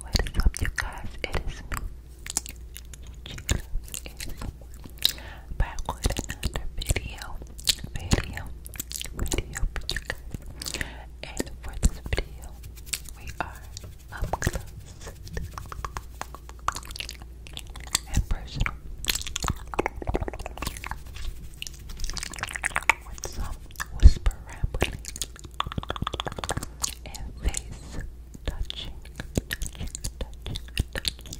What is up, you guys? It is me. Chila. Back with another video. Video. Video you guys. And for this video, we are up close and personal with some whisper rambling, and face touching, touching, touching,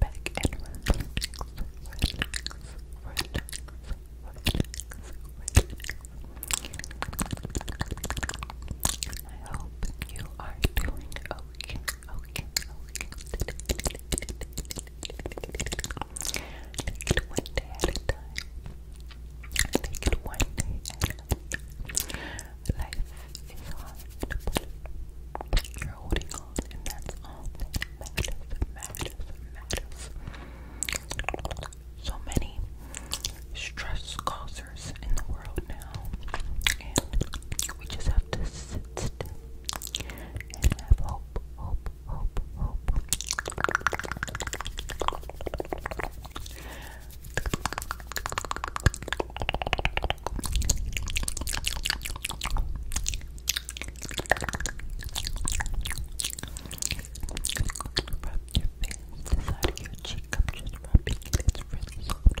back and relax, I hope you are doing okay. Okay, one day at a time. one day at a time. Life is hard, you're holding on, and that's all that matters, So many stress causers in the world now, we just have to sit still and have hope, hope, hope, hope. Rub your face, the your cheek. I'm just rubbing it. really soft.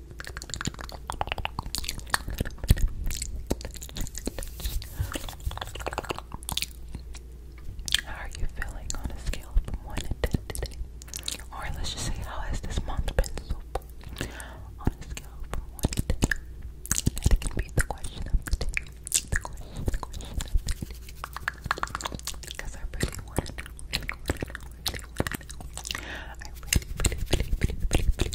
How are you feeling on a scale from 1 to 10 today? Or let's just say, how has this month been so far? On a scale from 1 to 10. That can be the question of the day. Because I really want to I really, really, really, really,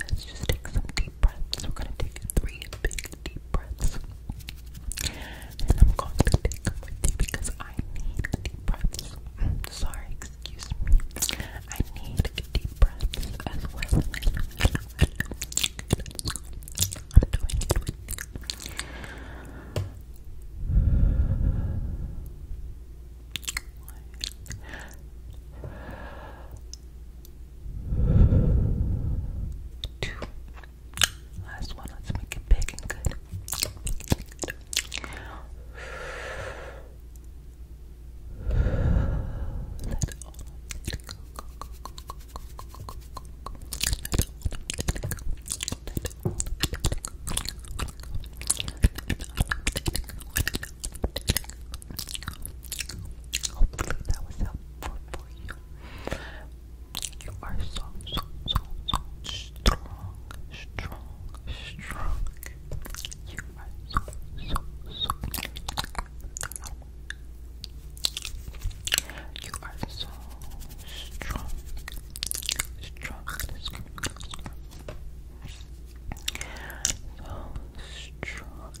Let's just take some deep breaths. We're gonna take three big deep breaths. And I'm going to take them with you because I need deep breaths. Mm, sorry, excuse me. I need deep breaths as well. I'm doing it with you. Two. Last one, let's make it big and good. Let all of it go, go, go, go, go, go, go, go, go. Let all of it go. Hopefully that was helpful for you. You are so, so, so, strong, strong, strong. You are so, so, so. You are so strong, strong. let So strong.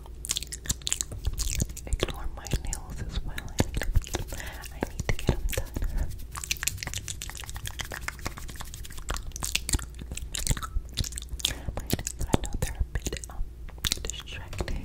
Ignore my nails as well. I need to, I get them done. My nails, I know they're a bit distracting.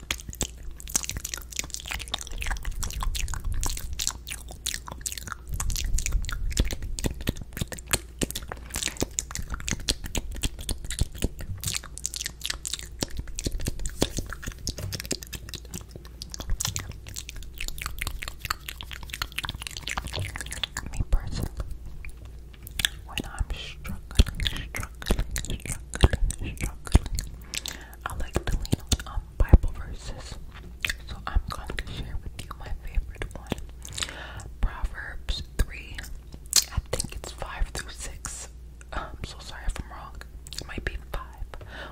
Me personally, when I'm struggling, struggling, struggling, struggling, I like to lean on um, Bible verses. So I'm going to share with you my favorite one. Proverbs 3, I think it's 5 through 6. I'm so sorry if I'm wrong. It might be 5,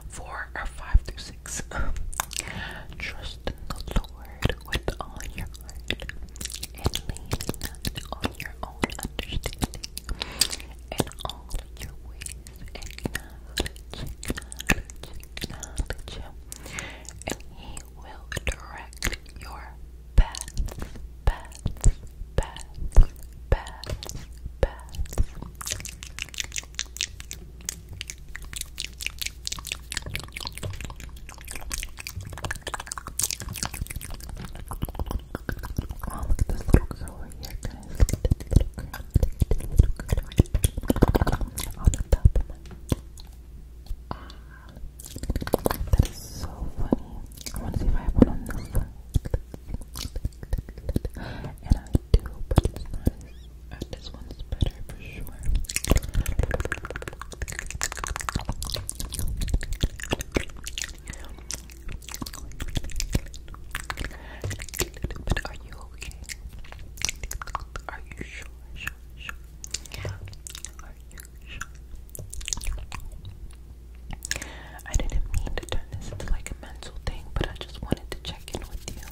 4, or 5 through 6. Trust in the Lord with all your heart and lean not on your own understanding. In all your ways, acknowledge, acknowledge, and he will direct your paths, paths, paths, paths, paths. Oh, look at this little girl That is so funny. I want to see if I have one on this one. And I do, but this one's better for sure. But are you okay? Are you sure? Sure, sure. Are you sure? I didn't mean to turn this into like a mental thing, but I just wanted to check in with you.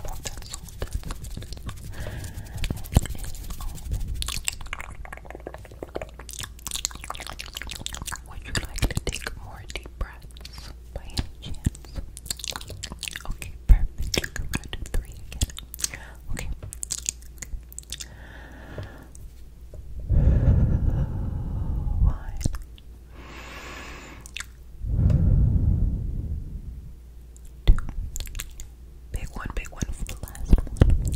Would you like to take more deep breaths? carrots by any chance? Okay, three again. Okay. One. Two. Big one, big one for the last one.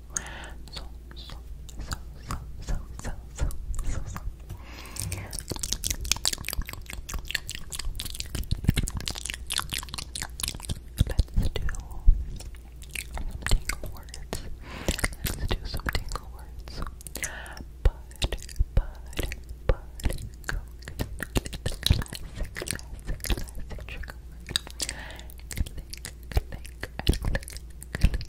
so, so, Let's do some tingle words. Let's do some tingle words. Bud, bud, bud, coconut. Classic, classic, classic trigger word. Click, click, click, click,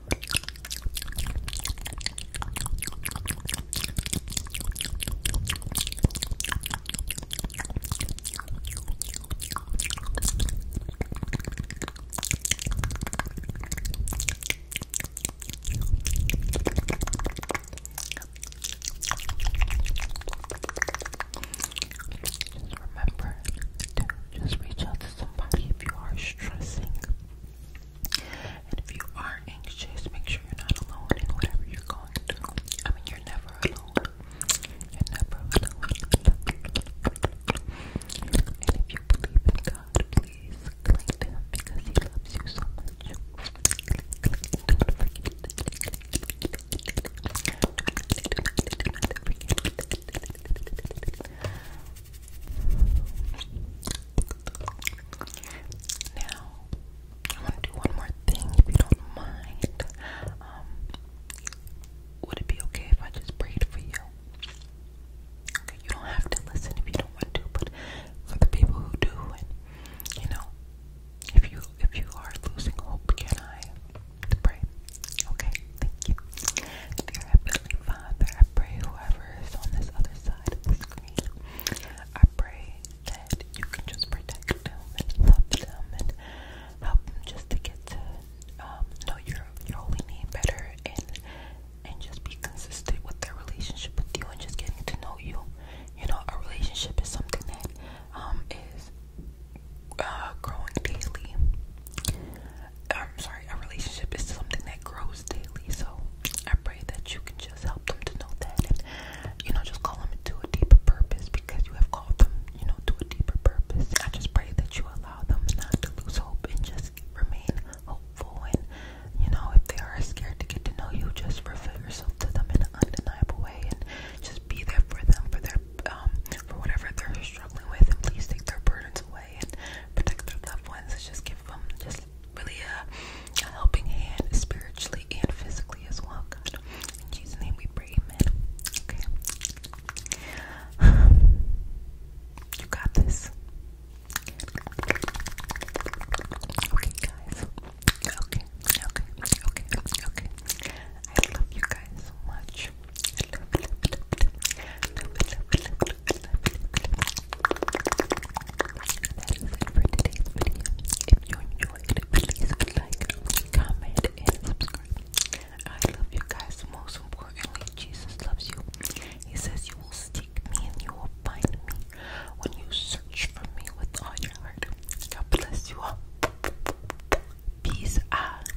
Just remember to just reach out to if you are stressing. And if you are anxious, make sure you're not alone in whatever you're going through. I mean, you're never alone. You're never alone. And if you believe in God, please cling to Him because He loves you so much. Now, I want to do one more thing if you don't mind. Um, would it be okay if I just prayed for you? you don't have to listen if you don't want to, but for the people who do, and you know, if you if you are losing hope, can I pray? Okay, thank you. Dear Heavenly Father, I pray whoever is on this other side of the screen, I pray that you can just protect them and love them and help them just to get to um, know your your holy name better and and just be consistent with their relationship with you and just getting to know you. You know, a relationship is something that um, uh, growing daily. I'm sorry, a relationship is something that grows daily. So I pray that you can just help them to know that you know, just call them to a deeper purpose because you have called them, you know, to a deeper purpose. I just pray that you allow them not to lose hope and just remain hopeful. And, you know, if they are scared to get to know you, just reveal yourself to them in an undeniable way and just be there for them for their, um, for whatever they're struggling with. And please take their burdens away away and protect their loved ones. Just give them just really a, helping hand spiritually and physically as well, In Jesus' name we pray, amen. Okay. you got this. Okay, guys. Okay, okay, okay, okay. I love you guys so much for today's video. If you enjoyed please like, comment, and subscribe. I love you guys. Most importantly, Jesus loves you. He says you will seek me and you will find me when you search for me with all your heart. God bless you all. Peace out.